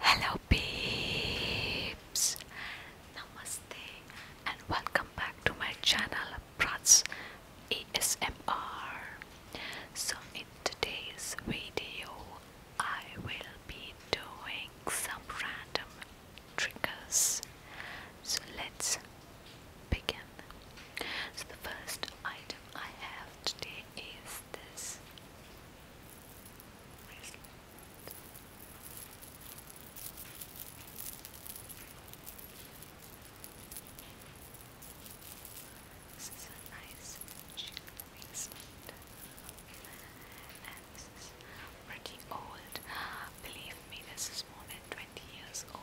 Hello, peeps! Namaste and welcome back to my channel Prats ASMR. So, in today's video, I will be doing some random triggers. So, let's begin. So, the first item I have today is this is nice jewelry pretty old. Believe me, this is more than 20 years old.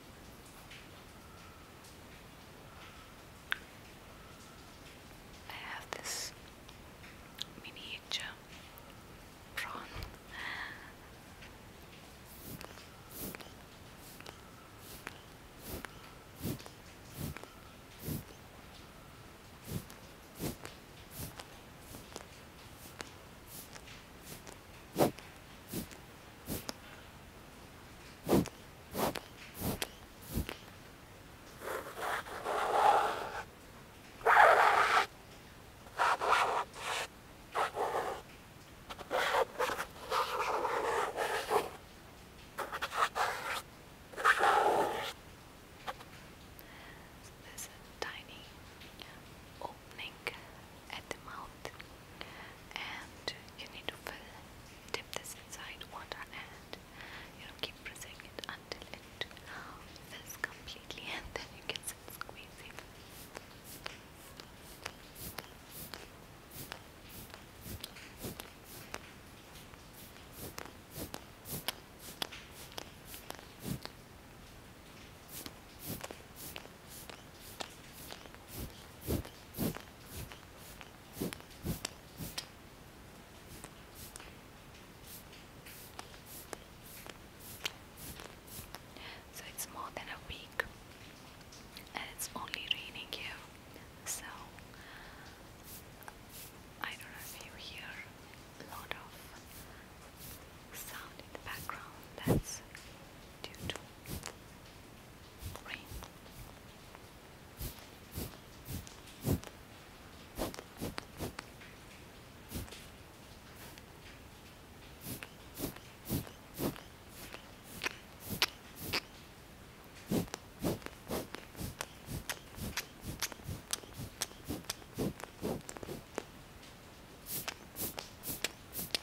I have this miniature prawn. There's a tiny opening at the mouth and you need to fill dip this inside water hand. you know keep pressing it until it is completely and then you can start squeezing so it's more than a week and it's only raining here. So I don't know if you hear a lot of sound in the background. That's due to rain.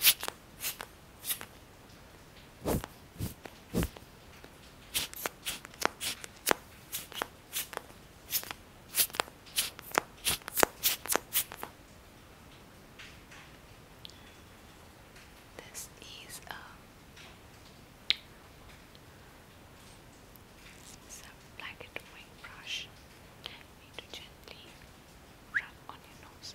This is um, some black and brush. need to gently rub on your nose.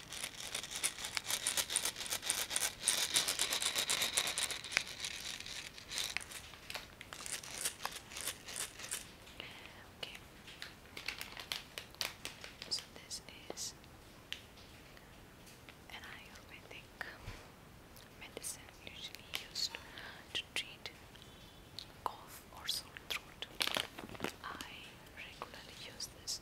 Okay. So this is an Ayurvedic medicine usually used to treat cough or sore throat. I regularly use this.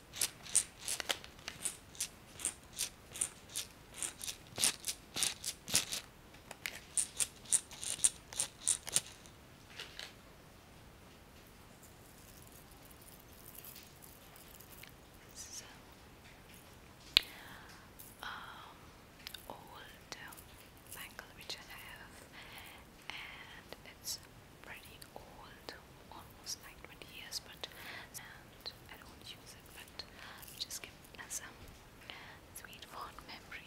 So, um, old bangle I have, and it's pretty old, almost like years, but and I don't use it, but just give it as sweet, fond memory.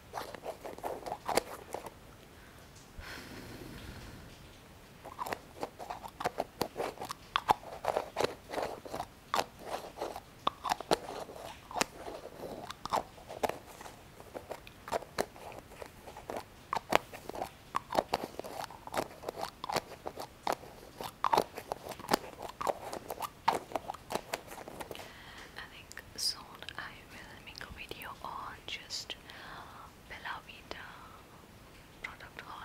I think soon I will make a video on just most beloved product haul.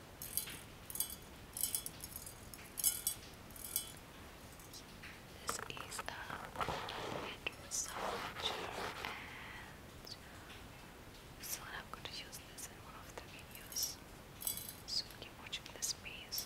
This is a head massager and soon I'm going to use this in one of the videos. So keep watching this space.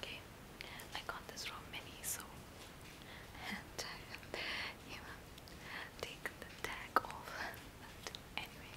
Okay, I got this from many, so and I uh, have even taken the tag off. anyway.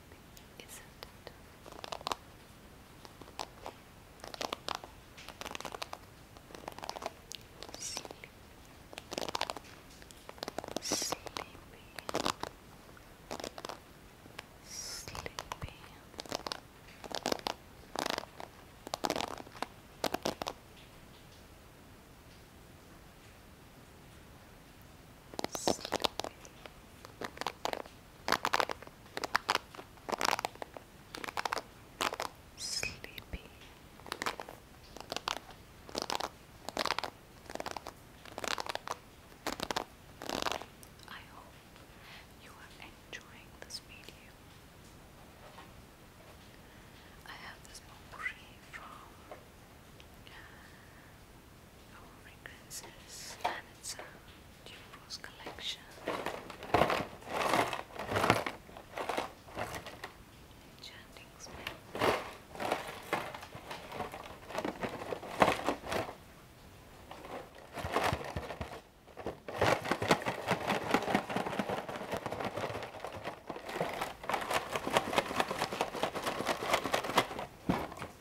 isn't it? Sleep. Sleepy. Sleepy. Sleepy. Sleepy. I hope you are enjoying this video. I have this potpourri from our fragrances and it's collection. Enchanting smell.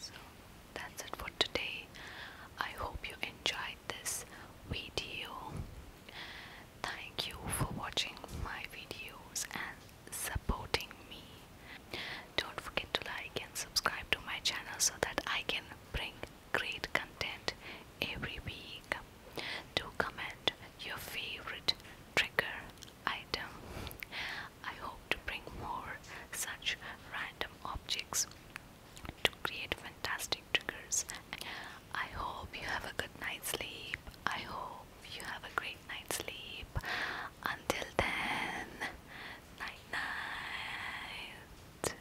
So that's it for today. I hope you enjoyed this video. Thank you for watching my videos and supporting me. Don't forget to like and subscribe to my channel so that I can bring great content every week. Do comment your favorite trigger item. I hope to bring more such random objects to create fantastic triggers. I hope you have a good night's sleep. I hope you have a great night's sleep. Until then, night night.